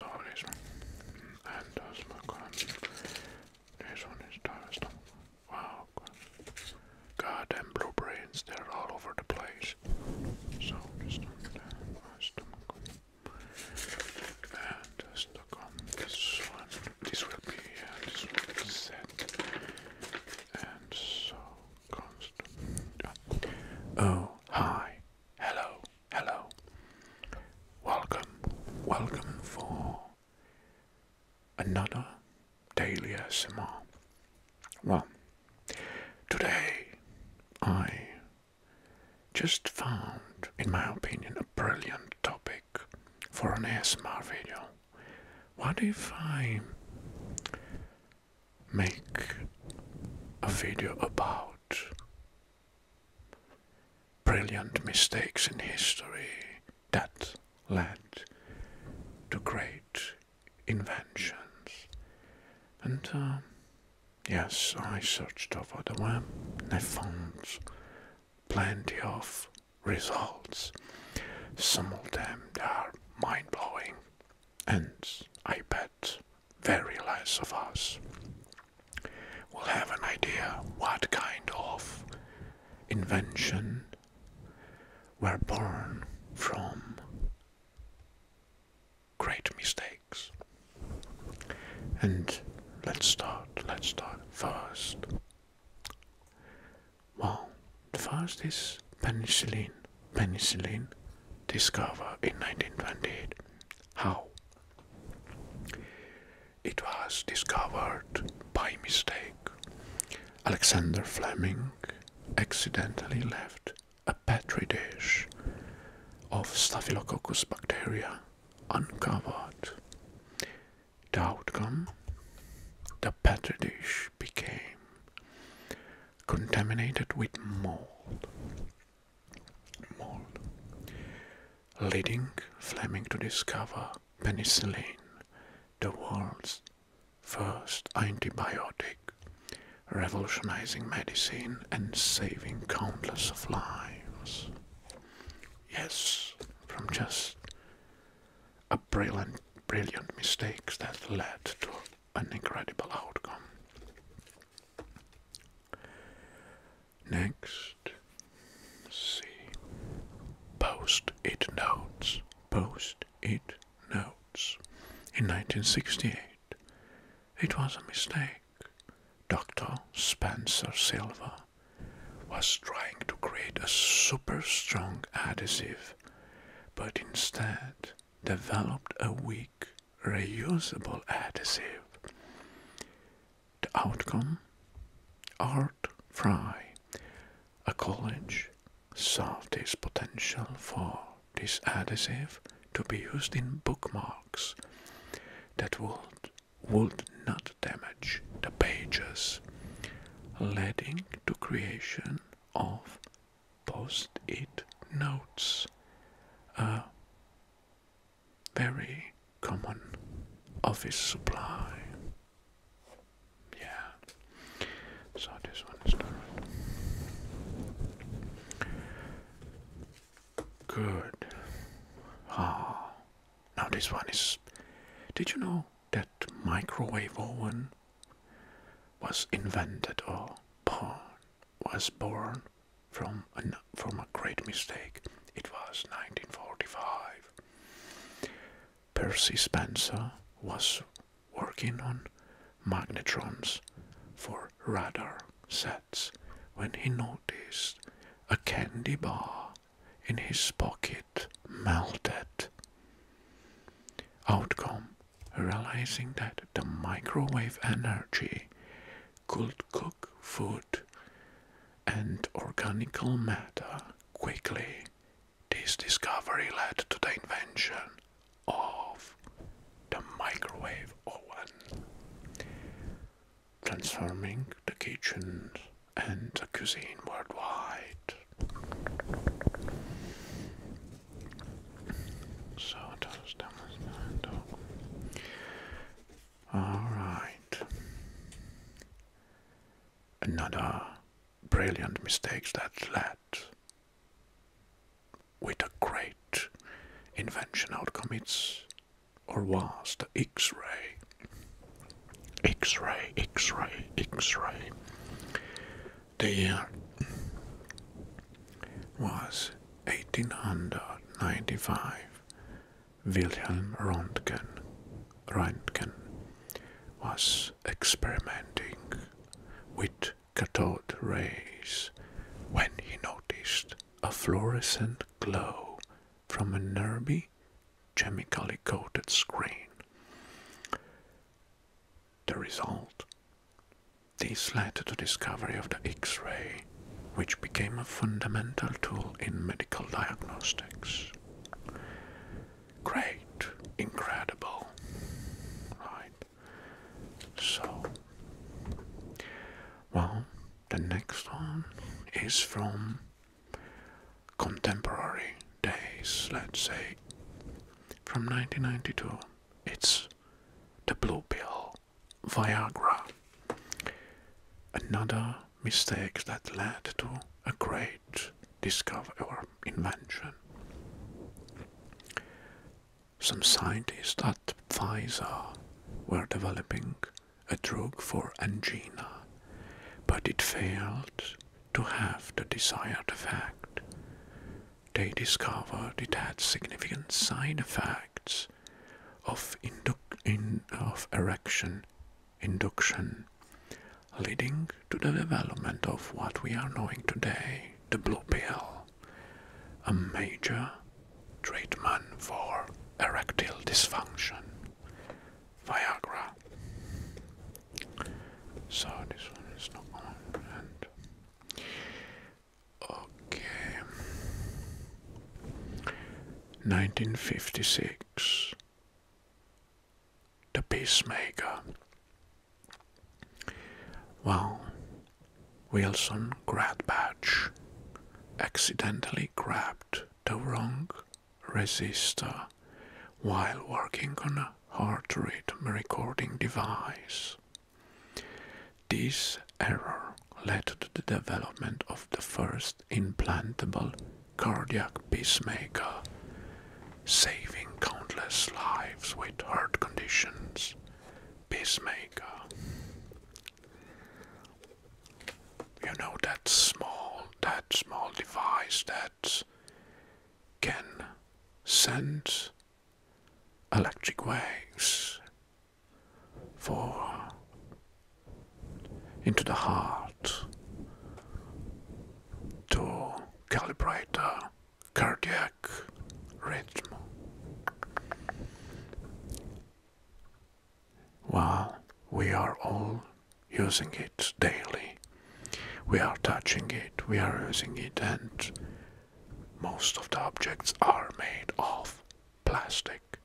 This one. is Tyler's Wow. Goddamn blue they're all over the place. So, this one, uh, my And stuck on this one. This will be, uh, this will set. And so comes oh, hi. Hello. Hello. Welcome. Welcome for another daily ASMR. Well, today I just found, in my opinion, a brilliant topic for an ASMR video. What if I make a video about Brilliant mistakes in history that led to great inventions. And um, yes, I searched over the web and I found plenty of results. Some of them are mind blowing, and I bet very less of us will have an idea what kind of invention were born from great mistakes. And let's start, let's start first. Well, the first is penicillin. Penicillin discovered in 1928. How? It was discovered by mistake. Alexander Fleming accidentally left a petri dish of Staphylococcus bacteria uncovered. The outcome the petri dish became contaminated with mold mole, leading Fleming to discover penicillin, the world's first antibiotic, revolutionizing medicine and saving countless of lives. Yes, from just a brilliant, brilliant mistakes that led to an incredible outcome. Next, see Post-it notes. Post-it notes. In 1968, it was a mistake. Dr. Spencer Silva was trying to create a super strong adhesive, but instead developed a weak reusable adhesive. The outcome Art Fry, a college, saw this potential for this adhesive to be used in bookmarks that would, would not damage the pages, leading to creation of post-it notes, a very common office supply. Yeah, so this one is Good. Ah, now this one is. Did you know that microwave oven was invented or born was born from a, from a great mistake. It was 1945. Percy Spencer was working on magnetrons for radar sets when he noticed a candy bar in his pocket melted. Outcome realizing that the microwave energy could cook food and organical matter quickly. This discovery led to the invention of the microwave oven, transforming the kitchen and the cuisine worldwide. So those damage dog. Alright. Another brilliant mistake that led with a great invention outcome it's or was the X-ray. X-ray, X-ray, X-ray. The year uh, was 1895 Wilhelm Röntgen, Röntgen was experimenting with cathode rays when he noticed a fluorescent glow from a nearby chemically coated screen. The result this led to the discovery of the X ray, which became a fundamental tool in medical diagnostics. Great, incredible. Right. So, well, the next one is from contemporary days, let's say, from 1992. It's the blue pill. Viagra. Another mistake that led to a great discovery or invention. Some scientists at Pfizer were developing a drug for angina, but it failed to have the desired effect they discovered it had significant side effects of, in, erection induction, leading to the development of what we are knowing today, the blue pill, a major treatment for erectile dysfunction, Viagra. So this one is not on. Okay. 1956. The Peacemaker. Wow. Wilson Gradbatch accidentally grabbed the wrong resistor while working on a hard rhythm recording device. This error led to the development of the first implantable cardiac pacemaker, saving countless lives with heart conditions. Pacemaker. You know that small, that small device that can send electric waves for into the heart to calibrate the cardiac rhythm. While we are all using it daily, we are touching it, we are using it, and most of the objects are made of plastic.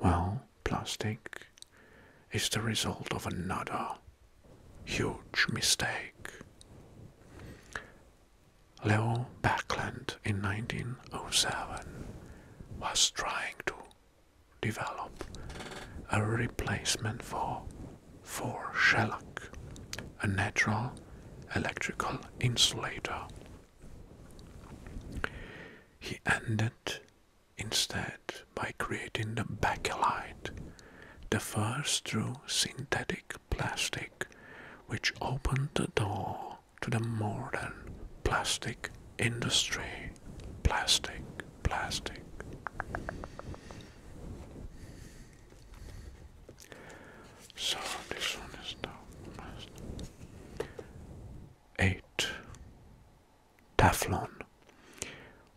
Well, plastic is the result of another huge mistake. Leo Backland in 1907 was trying to develop a replacement for for shellac, a natural electrical insulator. He ended instead by creating the Bakelite, the first true synthetic plastic which opened the door to the modern plastic industry. Plastic, plastic. So this one is now eight. Teflon.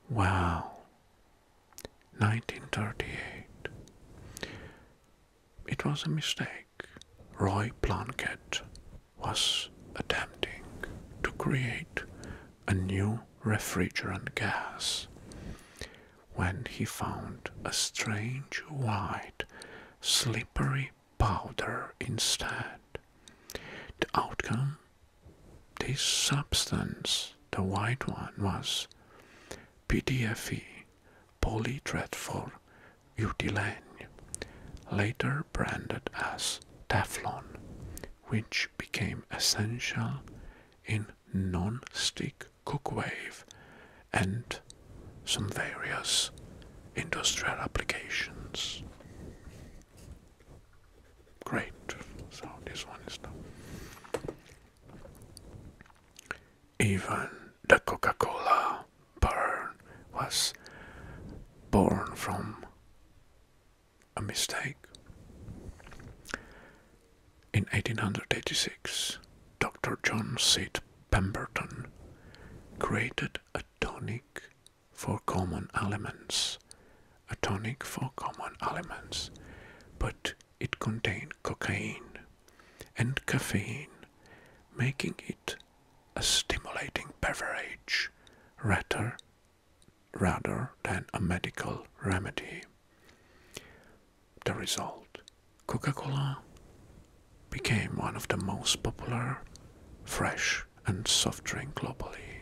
Wow. 1938. It was a mistake. Roy Plunkett was attempting to create a new refrigerant gas when he found a strange white, slippery powder instead. The outcome? This substance, the white one, was PDFE, polydreadful butylene, later branded as Teflon, which became essential in non-stick cookwave, and some various industrial applications. Great. So this one is done. Even the Coca-Cola burn was born from a mistake. In 1886, Dr. John C. Pemberton created a tonic for common ailments. a tonic for common ailments, but it contained cocaine and caffeine, making it a stimulating beverage rather than a medical remedy the result. Coca Cola became one of the most popular fresh and soft drink globally.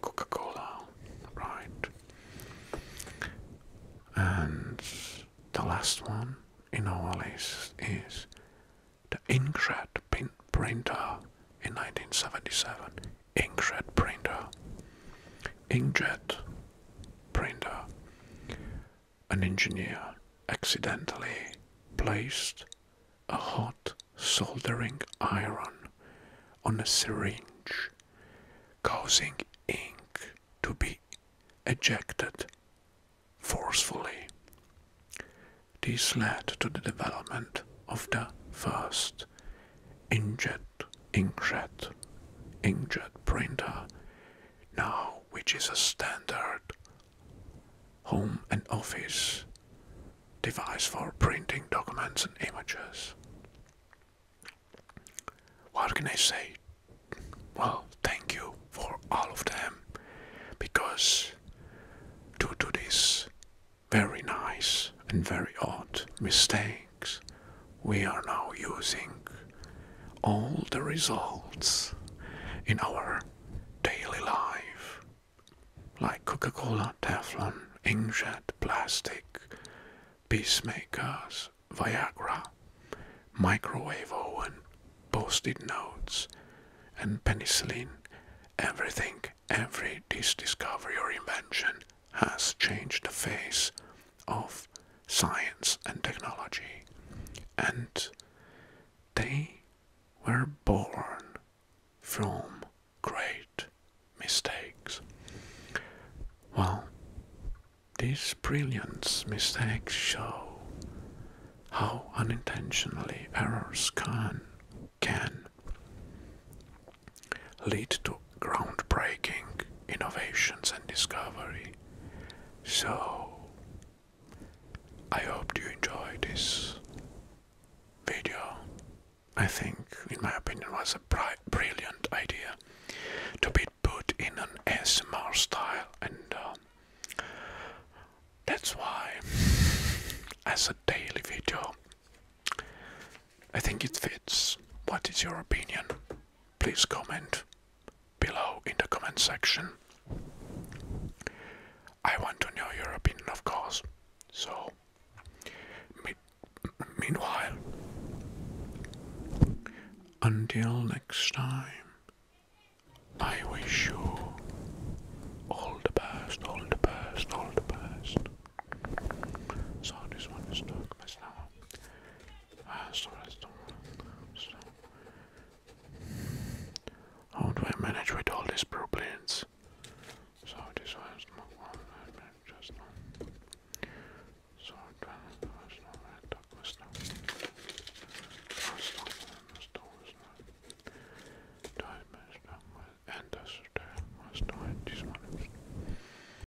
Coca Cola, right. And the last one in our list is the Inkjet printer in 1977. Inkjet printer. Inkjet printer. An engineer accidentally placed a hot soldering iron on a syringe, causing ink to be ejected forcefully. This led to the development of the first inkjet inkjet, inkjet printer now which is a standard home and office device for printing documents and images. What can I say? Well, thank you for all of them because due to this very nice and very odd mistake we are now using all the results in our daily life, like Coca Cola, Teflon, inkjet, plastic, peacemakers, Viagra, microwave oven, post it notes, and penicillin. Everything, every discovery or invention has changed the face of science and technology. And they were born from great mistakes. Well, these brilliant mistakes show how unintentionally errors can can lead to groundbreaking innovations and discovery. So, I hope you enjoyed this video. I think, in my opinion, was a brilliant idea to be put in an S M R style, and um, that's why, as a daily video, I think it fits. What is your opinion? please comment below in the comment section. I want to know your opinion, of course. So, meanwhile, until next time, I wish you all the best, all the best, all the best. So, this one is stuck, Ah, so that's the one. So. How do I manage with all these problems? So this one is not one, just one. So that was not right, that was not. And that's the last one, this one.